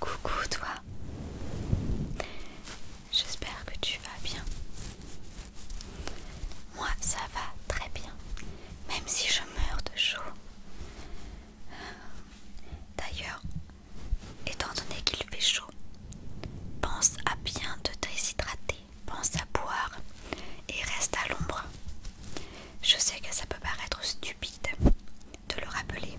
Coucou toi, j'espère que tu vas bien. Moi ça va très bien, même si je meurs de chaud. D'ailleurs, étant donné qu'il fait chaud, pense à bien te déshydrater, pense à boire et reste à l'ombre. Je sais que ça peut paraître stupide, de le rappeler.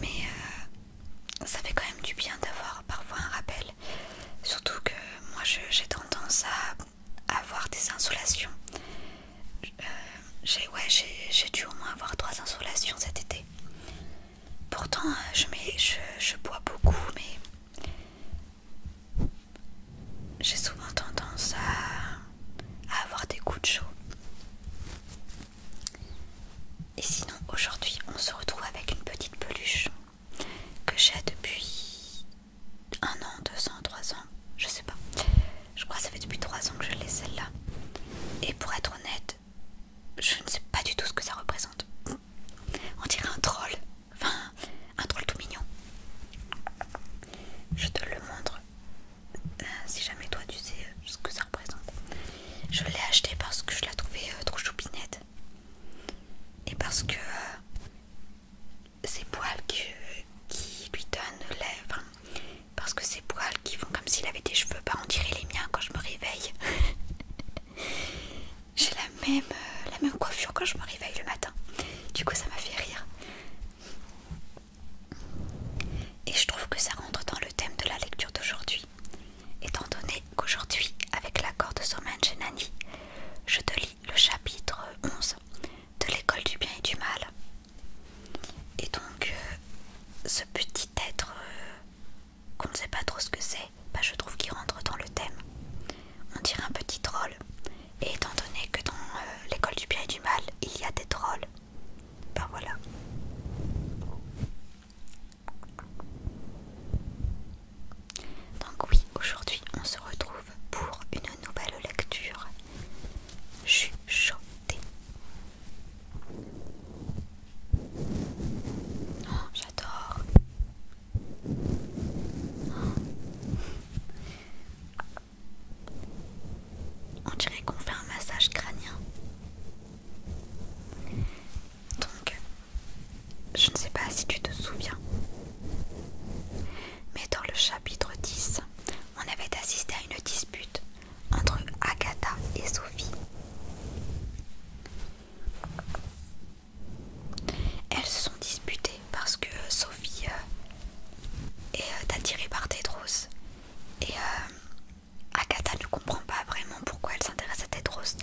Mais euh, ça fait quand même du bien d'avoir parfois un rappel. Surtout que moi j'ai tendance à avoir des insolations. Euh, j'ai ouais, dû au moins avoir trois insolations cet été. Pourtant euh, je, mets, je, bois beaucoup mais j'ai souvent tendance à avoir des coups de chaud. Et sinon, aujourd'hui, on se retrouve avec une petite peluche que j'ai depuis un an, deux ans, trois ans, je sais pas. Je crois que ça fait depuis trois ans que je l'ai celle-là. Et pour être honnête, je ne sais pas du tout ce que ça représente. On dirait un troll, enfin un troll tout mignon. Je te le montre euh, si jamais toi tu sais euh, ce que ça représente. Je l'ai acheté parce que je la trouvais euh, trop choupinette. Et parce que ces poils qui, lui donnent lèvres. parce que ces poils qui font comme s'il avait des cheveux, pas en tirer les miens quand je me réveille. J'ai la même, la même coiffure quand je me réveille le matin. Du coup ça m'a fait rire. Et je trouve que ça rentre dans le thème de la lecture d'aujourd'hui. Étant donné qu'aujourd'hui, avec l'accord de somain Genani, je te lis le chapitre 11 de l'école du bien et du mal. Et donc, euh, ce petit être euh, qu'on ne sait pas trop ce que c'est, bah, je trouve qu'il rentre dans le thème. On dirait un petit troll. Et étant donné que dans euh, l'école du bien et du mal, il y a des trolls, ben voilà. Donc oui, aujourd'hui on se retrouve pour une nouvelle lecture chuchotée. choquée. Oh, j'adore. On dirait qu'on fait un massage crânien. Donc, je ne sais pas si tu te souviens, mais dans le chapitre 10, on avait assisté à une dispute entre Agatha et Sophie. Elles se sont disputées parce que Sophie euh, est attirée par Tedros et euh, Agatha ne comprend pas vraiment pourquoi elle s'intéresse à Tedros,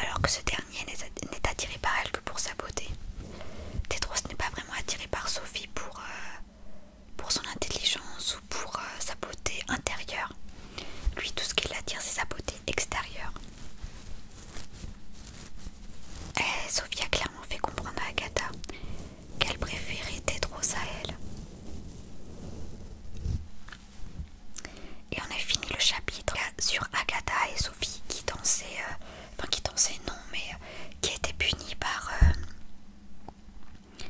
alors que ce dernier n'est attiré par elle que pour sa beauté. Tedros n'est pas vraiment attiré par Sophie pour, euh, son intelligence ou pour euh, sa beauté intérieure. Lui, tout ce qu'il attire c'est sa beauté extérieure. Eh, Sophie a clairement fait comprendre à Agatha qu'elle préférait être à elle. Et on a fini le chapitre sur Agatha et Sophie qui dansaient, euh, enfin qui dansaient non, mais euh, qui étaient punies par... Euh,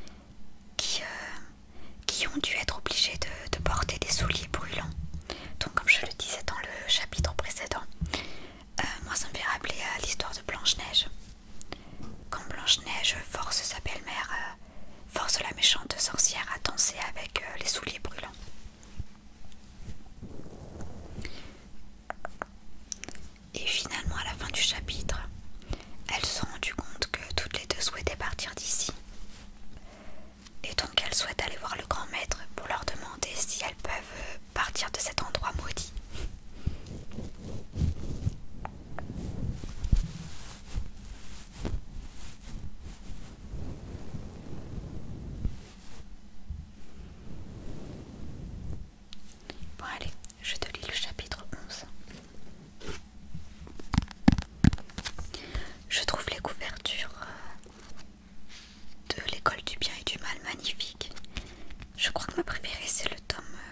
qui, qui ont dû être obligées de, porter des souliers brûlants. Donc comme je le disais dans le chapitre précédent, moi ça me fait rappeler à l'histoire de Blanche-Neige. Quand Blanche-Neige force sa belle-mère, euh, force la méchante sorcière à danser avec euh, les souliers brûlants. Et finalement, à la fin du chapitre, elles se sont rendues compte que toutes les deux souhaitaient partir d'ici. Et donc, elles souhaitent aller voir le grand maître pour leur demander si elles peuvent euh, partir de cet endroit maudit. Bon allez, je te lis le chapitre 11. Je trouve les couvertures euh, de l'école du bien et du mal magnifiques. Je crois que ma préférée c'est le tome euh,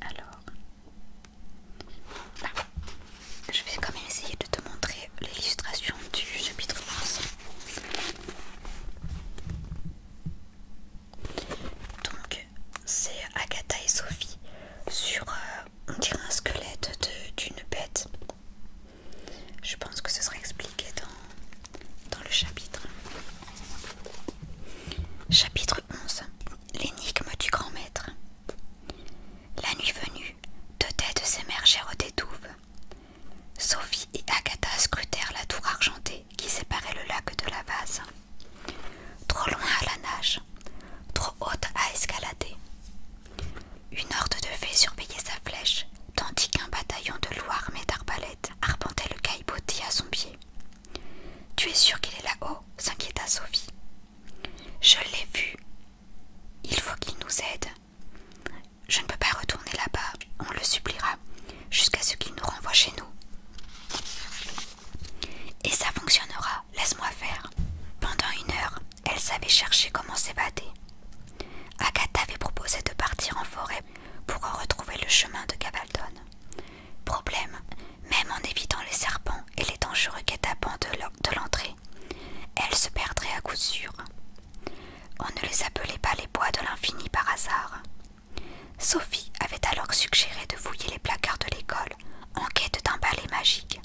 Alors, je vais quand même essayer de te montrer l'illustration du chapitre 11. Donc, c'est Agatha et Sophie sur, euh, on dirait un squelette d'une bête. Je pense que ce sera expliqué dans le chapitre. Chapitre 11 L'énigme du grand maître. La nuit venue, deux têtes s'émergèrent des douves. Sophie et Agatha scrutèrent la tour argentée qui séparait le lac de la vase. Trop loin à la nage, trop haute à escalader. Une horde de fées surveillait sa flèche, tandis qu'un bataillon de loups armés d'arbalètes arpentait le caillebotis à son pied. Tu es sûr qu'il est là-haut s'inquiéta Sophie. Je l'ai vu. Il faut qu'il nous aide. Je ne peux pas retourner là-bas, on le suppliera, jusqu'à ce qu'il nous renvoie chez nous. Et ça fonctionnera, laisse-moi faire. Pendant une heure, elle savait chercher comment s'évader. Agatha avait proposé de partir en forêt pour en retrouver le chemin de Gavaldon. Problème, même en évitant les serpents et les dangereux guet-apens de l'entrée, elles se perdraient à coup sûr. On ne les appelait pas les bois de l'infini par hasard. Sophie avait alors suggéré de fouiller les placards de l'école en quête d'un balai magique,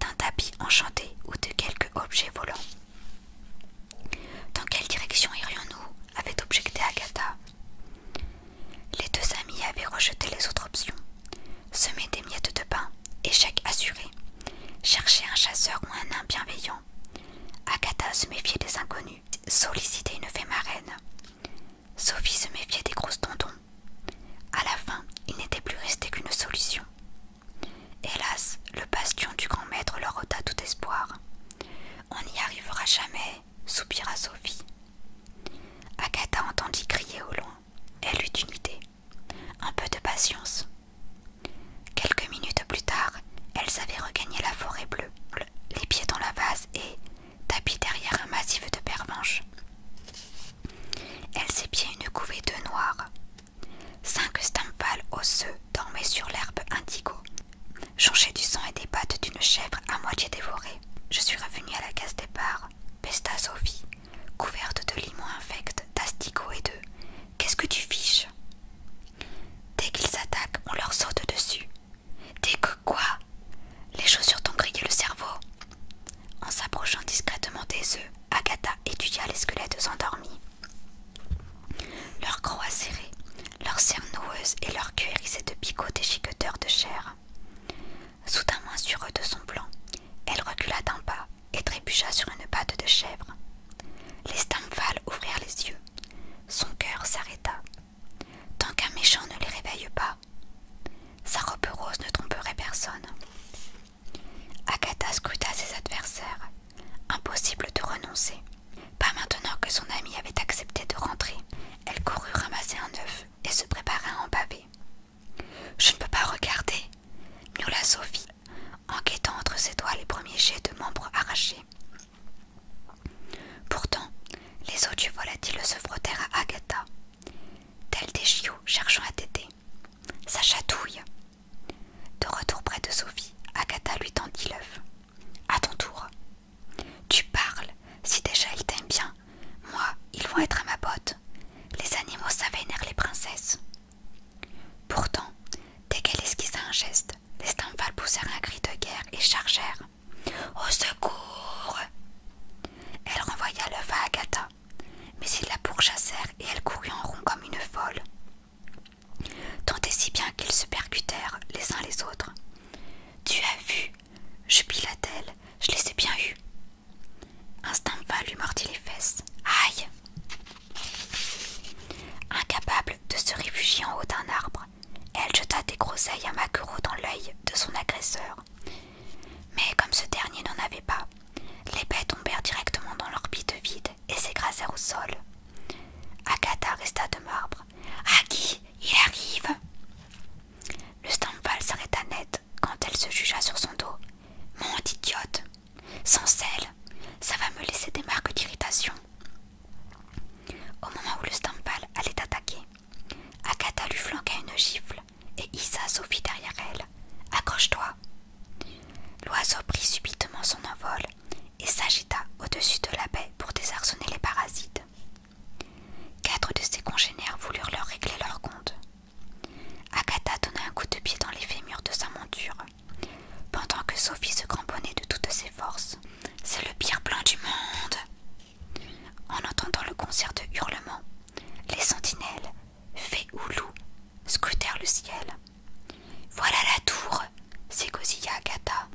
d'un tapis enchanté ou de quelque objet volant. Dans quelle direction irions-nous avait objecté Agatha. Les deux amis avaient rejeté les autres options, semer des miettes de pain, échec assuré, chercher un chasseur ou un nain bienveillant. Agatha se méfiait des inconnus, sollicitait une fée marraine. Sophie se méfiait des grosses tendons. À la fin, il n'était plus resté qu'une solution. Hélas, le bastion du grand maître leur ôta tout espoir. On n'y arrivera jamais, soupira Sophie. Agatha entendit crier au loin. Elle eut une idée. Un peu de patience. Quelques minutes plus tard, elles avaient regagné la forêt bleue, les pieds dans la vase et, tapis derrière un massif de pervenches, elles épiaient une couvée de noirs. Cinq stampales osseux dormaient sur l'herbe indigo Changé du sang et des pattes d'une chèvre à moitié dévorée, je suis revenue à la case départ, pesta Sophie, couverte de limons infects, d'asticots et de... Qu'est-ce que tu fiches Dès qu'ils s'attaquent, on leur saute dessus. Dès que quoi Les chaussures t'ont grillé le cerveau. En s'approchant discrètement des œufs, Agatha étudia les squelettes endormis. Leurs croix serrée leurs serre noueuses et leurs cuirissées de picots déchiqueteurs de chair. Soudain eux de son plan, elle recula d'un pas et trébucha sur une patte de chèvre. Les stamphales ouvrirent les yeux. Son cœur s'arrêta. Tant qu'un méchant ne les réveille pas, sa robe rose ne tromperait personne. Agatha scruta ses adversaires. Impossible de renoncer. Pas maintenant que son amie avait accepté de rentrer, elle courut ramasser un œuf et se prépara à en baver. Je ne peux pas regarder, miaula Sophie, enquêtant entre ses doigts les premiers jets de membres arrachés. Pourtant, les os du volatile se frottèrent à Agatha, tels des chiots cherchant à t'aider. « Sa chatouille. De retour près de Sophie, Agatha lui tendit l'œuf à ton tour. Tu parles, si déjà ils t'aiment bien, moi, ils vont être à ma botte. Les animaux, s'avénèrent les princesses. Pourtant, dès qu'elle esquissa un geste, les Stamphales poussèrent un cri de guerre et chargèrent. Au secours Elle renvoya le va à Agatha, mais ils la pourchassèrent et elle courut en rond comme une folle. Tant et si bien qu'ils se percutèrent les uns les autres. Tu as vu jubila-t-elle. Je les ai bien eus. Instinct va lui mordit les fesses. Aïe Incapable de se réfugier en haut d'un arbre, elle jeta des groseilles à maquereau dans l'œil de son agresseur. Mais comme ce dernier n'en avait pas, les baies tombèrent directement dans l'orbite vide et s'écrasèrent au sol. Agatha resta de marbre, « A qui il arrive Le Stampal s'arrêta net quand elle se jugea sur son dos. Mon idiote Sans sel, ça va me laisser des marques d'irritation. Au moment où le Stampal allait attaquer, Agatha lui flanqua une gifle et Isa fit derrière elle. Accroche-toi L'oiseau prit subitement son envol et s'agita au-dessus de la baie pour désarçonner les parasites. Quatre de ses congénères voulurent leur régler leur compte. Agatha donna un coup de pied dans les fémurs de sa monture, pendant que Sophie se cramponnait de toutes ses forces. C'est le pire plan du monde! En entendant le concert de hurlements, les sentinelles, fées ou loups, scrutèrent le ciel. Voilà la tour! s'égosilla Agatha.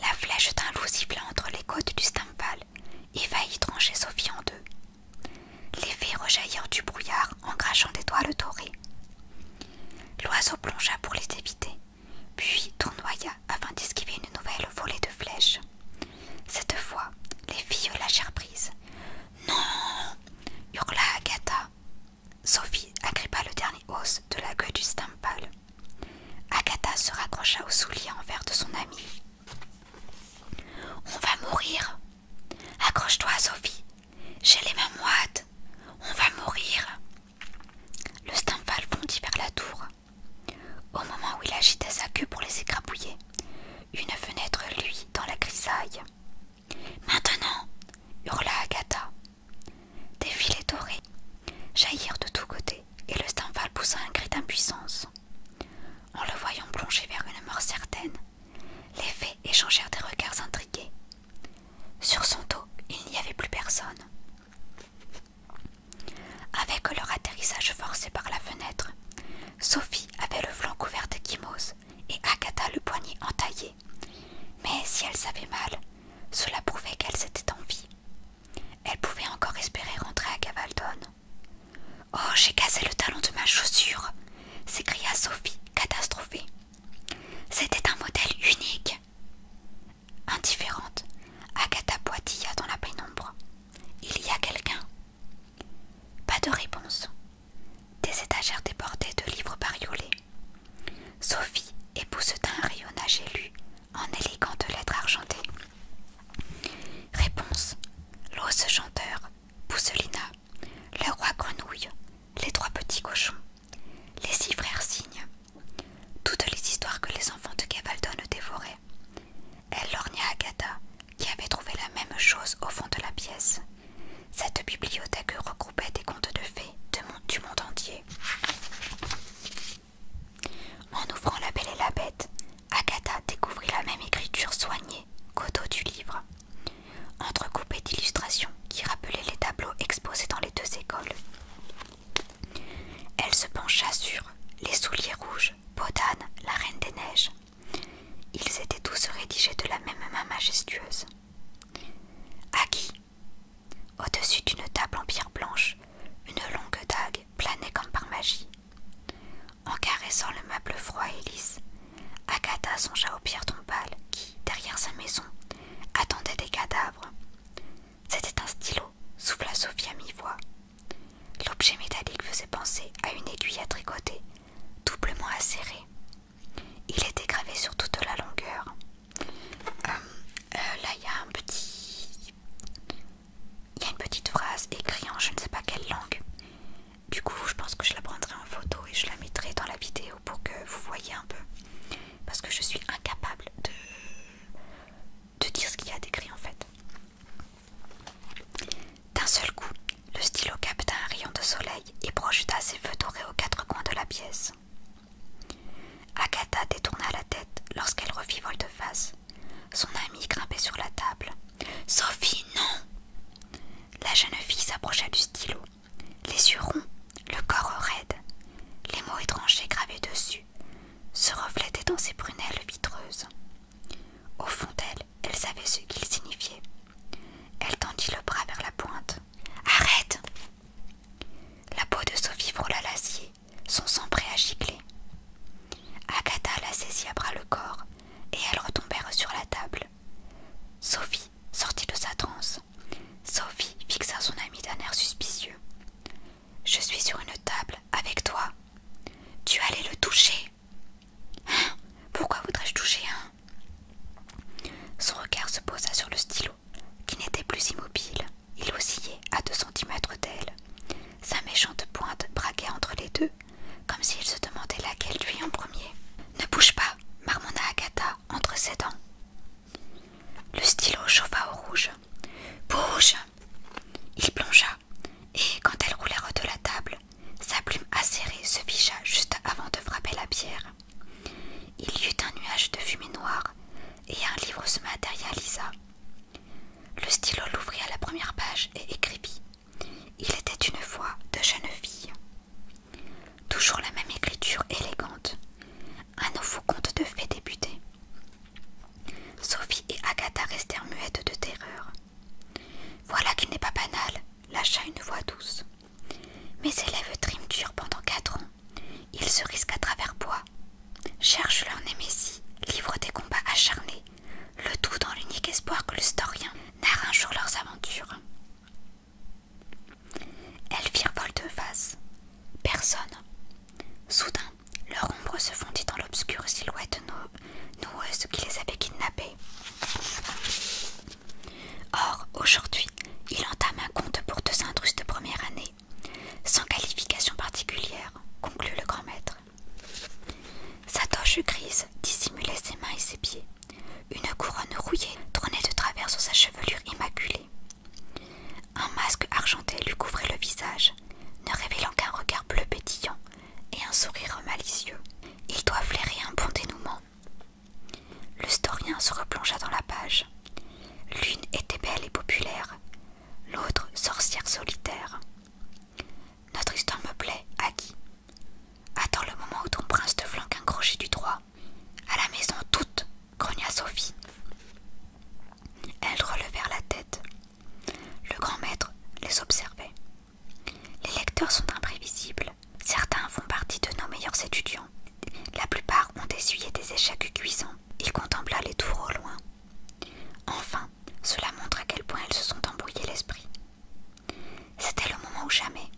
La flèche d'un loup siffla entre les côtes du stampal et faillit trancher Sophie en deux. Les fées rejaillirent du brouillard en crachant des toiles dorées. L'oiseau plongea pour les éviter, puis tournoya afin d'esquiver une nouvelle volée de flèches. Cette fois, les filles lâchèrent prise. Non hurla Agatha Sophie agrippa le dernier os de la gueule du Stampal. Agatha se raccrocha au soulier envers de son amie. On va mourir. Accroche-toi, Sophie. J'ai les mains moites. On va mourir. Le Stampal fondit vers la tour. Au moment où il agitait sa queue pour les écrabouiller, une fenêtre lui dans la grisaille. Maintenant, hurla Agatha. Des filets dorés jaillirent de tous côtés et le Stendhal poussa un cri d'impuissance. En le voyant plonger vers une mort certaine, les fées échangèrent des regards intrigués. Sur son dos, il n'y avait plus personne. Avec leur atterrissage forcé par la fenêtre, Sophie avait le flanc couvert de et Agatha le poignet entaillé mais si elle savait mal, cela prouvait qu'elle s'était en vie. Elle pouvait encore espérer rentrer à Cavaldon. Oh, j'ai cassé le talon de ma chaussure s'écria Sophie, catastrophée. C'était un modèle unique. Indifférente, Agatha boitilla dans la pénombre. Il y a quelqu'un Pas de réponse. Des étagères débordées de livres bariolés, Sophie épousseta un rayonnage élu en élégante lettres argentée. Réponse L'os chanteur, Pousselina, le roi grenouille, les trois petits cochons, les six frères cygnes, toutes les histoires que les enfants de Cavaldon dévoraient. Elle lorgna Agatha, qui avait trouvé la même chose au fond de la pièce. Cette bibliothèque regroupait des contes de fées du monde entier. En ouvrant La Belle et la Bête, Agatha découvrit la même écriture soignée qu'au du livre, entrecoupée d'illustrations qui rappelaient les tableaux exposés dans les deux écoles. Elle se pencha sur Les souliers rouges, Podane, la Reine des Neiges. Ils étaient tous rédigés de la même main majestueuse. Au-dessus d'une table en pierre blanche, une longue dague planait comme par magie. En caressant le meuble froid et lisse, Agatha songea aux pierres tombale qui, derrière sa maison, attendait des cadavres. C'était un stylo, souffla Sophie à mi-voix. L'objet métallique faisait penser à une aiguille à tricoter, doublement acérée. Il était gravé sur toute la longueur. Euh, euh, là, il y a un petit. une petite phrase écrite en je ne sais pas quelle langue. Du coup, je pense que je la prendrai en photo et je la mettrai dans la vidéo pour que vous voyez un peu. Parce que je suis incapable de, de dire ce qu'il y a d'écrit en fait. D'un seul coup, le stylo capta un rayon de soleil et projeta ses feux dorés aux quatre coins de la pièce. Agatha détourna la tête lorsqu'elle revit Volte-face. Son amie grimpait sur la table. Sophie, non La jeune fille s'approcha du stylo, les yeux ronds, le corps raide, les mots étrangers gravés dessus se reflétaient dans ses prunelles vitreuses. Au fond d'elle, elle savait ce qu'ils signifiaient. Elle tendit le bras vers la pointe. Arrête la peau de Sophie frôla l'acier, son sang prêt à gicler. Agatha la saisit à bras le corps et elle retombèrent sur la table. Sophie sortit de sa transe. Sophie fixa son amie d'un air suspicieux. Je suis sur une table avec toi. Tu allais le toucher. Hein Pourquoi voudrais-je toucher un Son regard se posa sur le stylo qui n'était plus immobile, il oscillait à deux centimètres d'elle. Sa méchante pointe braquait entre les deux, comme s'il se demandait laquelle lui en premier. Ne bouge pas, marmonna Agatha entre ses dents. Le stylo chauffa au rouge. Bouge Il plongea, et quand elle roulait de la table, sa plume acérée se figea juste avant de frapper la pierre. Il y eut un nuage de fumée noire, et un livre se matérialisa. Le stylo l'ouvrit à la première page et écrivit. Il était une fois de jeune fille. Toujours la même écriture élégante. Un nouveau conte de fées débutait. Sophie et Agatha restèrent muettes de terreur. Voilà qu'il n'est pas banal, lâcha une voix douce. Mes élèves triment dur pendant quatre ans ils se risquent à travers bois, cherchent leur némésie, livrent des combats acharnés, le tout dans l'unique espoir que le storien narre un jour leurs aventures. Elles firent de face Personne. Soudain, leur ombre se fondit dans l'obscure silhouette noueuse qui les avait kidnappées. Or, aujourd'hui, il entame un compte pour deux intrus de première année, sans qualification particulière, conclut le grand maître. Sa toche grise dissimulait ses mains et ses pieds. Une couronne rouillée trônait de travers sur sa chevelure immaculée. Un masque argenté lui couvrait le visage, ne révélant qu'un regard bleu pétillant et un sourire malicieux. Il doit flairer un bon dénouement. Le storien se replongea dans la page. L'une était belle et populaire, l'autre sorcière solitaire. Notre histoire me plaît, qui. Attends le moment où ton prince te flanque un crochet du droit. À la maison toute, grogna Sophie. Elles relevèrent la tête. Le grand maître les observait. Les lecteurs sont imprévisibles. Certains font partie de nos meilleurs étudiants, la plupart ont essuyé des échecs cuisants. Il contempla les tours au loin. Enfin, cela montre à quel point elles se sont embrouillées l'esprit. C'était le moment ou jamais.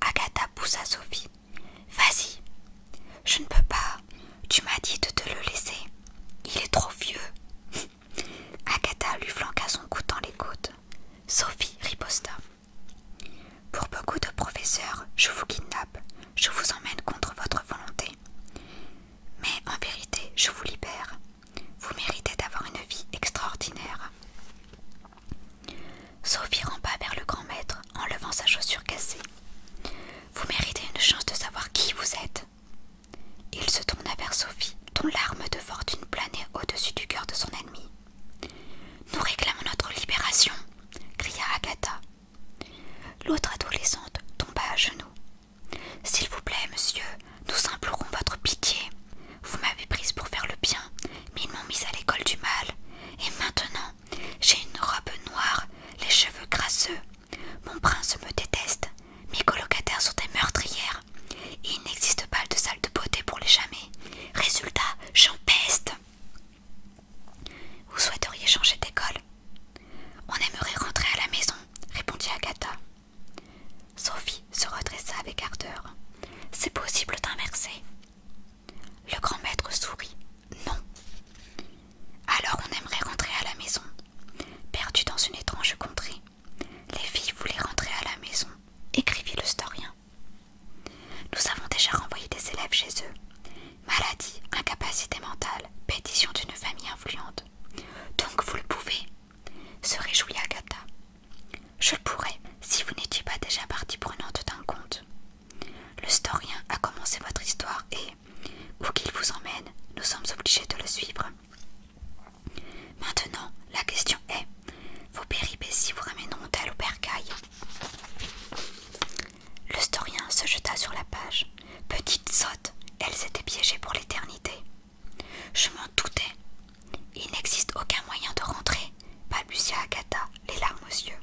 Agatha poussa Sophie. Vas-y. Je ne peux pas. Tu m'as dit de te le laisser. Il est trop vieux. Agatha lui flanqua son cou dans les côtes. Sophie riposta. Pour beaucoup de professeurs, je vous kidnappe, je vous emmène contre votre volonté. Mais en vérité, je vous libère. Vous méritez d'avoir une vie extraordinaire. Sophie rampa vers le grand maître en levant sa chaussure cassée. Vous méritez une chance de savoir qui vous êtes. Il se tourna vers Sophie, dont l'arme de fortune planait au-dessus du cœur de son ennemi. Nous réclamons notre libération, cria Agatha, L'autre adolescente tomba à genoux. S'il vous plaît, monsieur, nous implorons votre pitié. Vous m'avez prise pour faire le bien, mais ils m'ont mise à l'école du mal. Et maintenant, j'ai une robe noire, les cheveux grasseux. Mon prince me déteste. Mes colocataires sont des meurtrières. il n'existe pas de salle de beauté pour les jamais. Résultat, j'en vous souhaiteriez changer d'école On aimerait rentrer à la maison, répondit Agatha. Sophie se redressa avec ardeur. C'est possible d'inverser Le grand maître sourit. Non. Alors on aimerait rentrer à la maison. Perdu dans une étrange contrée, les filles voulaient rentrer à la maison, écrivit le historien nous avons déjà renvoyé des élèves chez eux. Maladie, incapacité mentale, pétition d'une famille influente. Donc vous le pouvez, se réjouit Agatha. Je le pourrais si vous n'étiez pas déjà partie prenante d'un conte. Le storien a commencé votre histoire et, où qu'il vous emmène, nous sommes obligés de le suivre. Maintenant, la question est vos péripéties vous ramèneront-elles au bercail le se jeta sur la page. Petite sotte, elle s'était piégée pour l'éternité. Je m'en doutais. Il n'existe aucun moyen de rentrer, balbutia Agatha, les larmes aux yeux.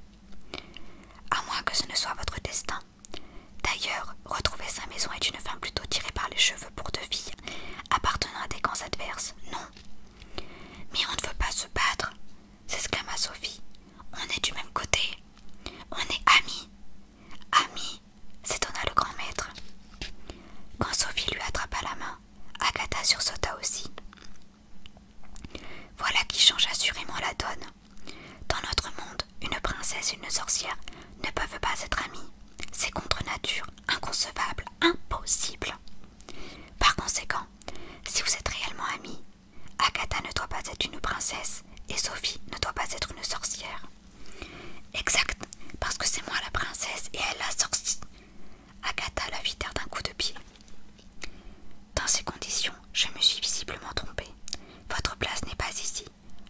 À moins que ce ne soit votre destin. D'ailleurs, retrouver sa maison est une femme plutôt tirée par les cheveux pour deux filles, appartenant à des camps adverses, non. Mais on ne veut pas se battre, s'exclama Sophie. On est du même côté. On est amis. Amis s'étonna le grand maître. Quand Sophie lui attrapa la main, Agatha sursauta aussi. Voilà qui change assurément la donne. Dans notre monde, une princesse et une sorcière ne peuvent pas être amies. C'est contre nature, inconcevable, impossible. Par conséquent, si vous êtes réellement amis, Agatha ne doit pas être une princesse et Sophie ne doit pas être une sorcière. Exact, parce que c'est moi la princesse et elle la sorcière. Agatha la fit d'un coup de pied. Dans ces conditions, je me suis visiblement trompée. Votre place n'est pas ici.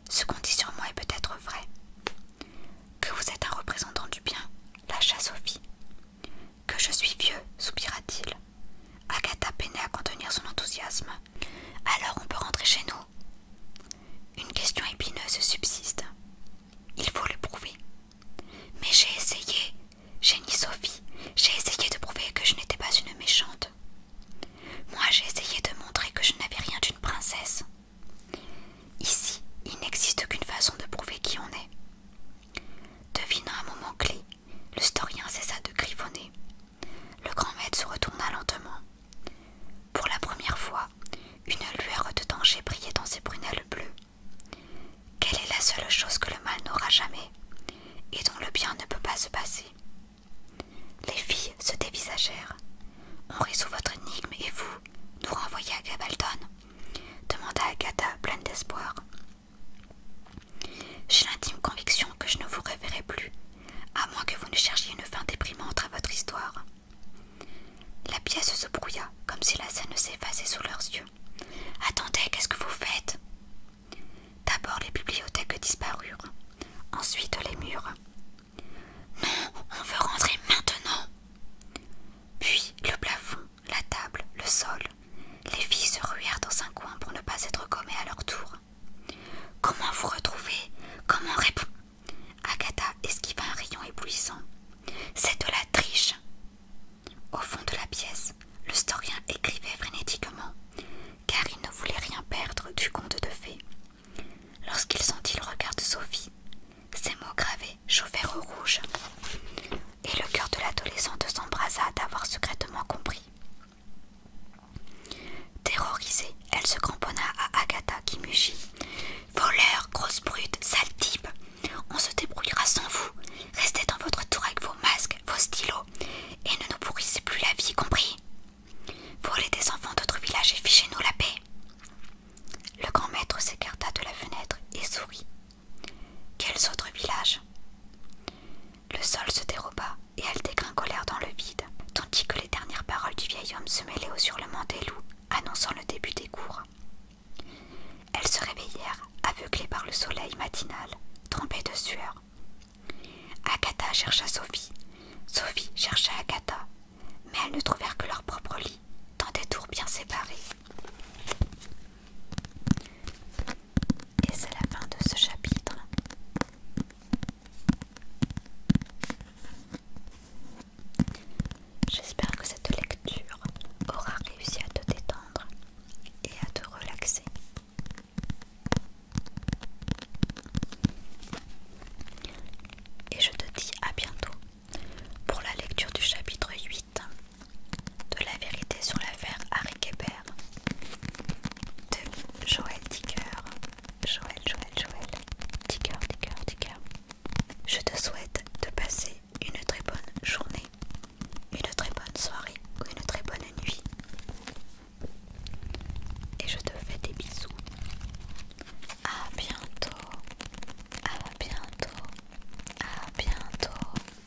Ce qu'on dit sur moi est peut-être vrai. Que vous êtes un représentant du bien, lâcha Sophie. Que je suis vieux, soupira-t-il. Agatha peinait à contenir son enthousiasme. Alors on peut rentrer chez nous Une question épineuse subsiste. Il faut le prouver. Mais j'ai essayé, génie Sophie, j'ai essayé de prouver que je n'étais pas une méchante. Moi j'ai essayé de montrer que je n'avais rien d'une princesse. Ici, il n'existe qu'une façon de prouver qui on est. Devine un moment clé, le cessa de griffonner. Le grand maître se retourna lentement. Pour la première fois, une lueur de danger brillait dans ses prunelles bleues. Quelle est la seule chose que le mal n'aura jamais et dont le bien ne peut pas se passer Les filles se dévisagèrent. On résout votre énigme et vous nous renvoyez à Gabaldon demanda Agatha pleine d'espoir. J'ai l'intime conviction que je ne vous reverrai plus, à moins que vous ne cherchiez une fin déprimante à votre histoire. La pièce se brouilla, comme si la scène s'effaçait sous leurs yeux. Attendez, qu'est-ce que vous faites D'abord les bibliothèques disparurent, ensuite les murs. Non, on veut rentrer maintenant. Puis le plafond, la table, le sol. Les filles se ruèrent dans un coin pour ne pas être gommées à leur tour. Comment vous retrouver Comment répond... » Agatha esquiva un rayon éblouissant. C'est de la triche Au fond de la pièce, le storien écrivait frénétiquement, car il ne voulait rien perdre du conte de fées. Lorsqu'il sentit le regard de Sophie, ses mots gravés chauffèrent au rouge et le cœur de l'adolescente s'embrasa d'avoir secrètement compris. Terrorisée, elle se cramponna à Agatha qui mugit. Voleur, grosse brute, sale type. On se débrouillera sans vous. Restez dans votre tour avec vos masques, vos stylos, et ne nous pourrissez plus la vie, compris Volez des enfants d'autres villages et fichez-nous la paix. Le grand maître s'écarta de la fenêtre et sourit quels autres villages Le sol se déroba et elles dégringolèrent dans le vide, tandis que les dernières paroles du vieil homme se mêlaient au surlement des loups, annonçant le début des cours. Elles se réveillèrent, aveuglées par le soleil matinal, trempées de sueur. Agatha chercha Sophie, Sophie chercha Agatha, mais elles ne trouvèrent que leur propre lit, dans des tours bien séparés. Et c'est la fin de ce chapitre. J'espère que cette lecture aura réussi à te détendre et à te relaxer. Et je te dis à bientôt pour la lecture du chapitre 8 de la vérité sur l'affaire Harry Kéber de Joël Dicker. Joël, Joël, Joël. Dicker, Dicker, Dicker. Je te souhaite de passer une très bonne journée, une très bonne soirée ou une très bonne nuit. Et je te fais des bisous. À bientôt. À bientôt. À bientôt.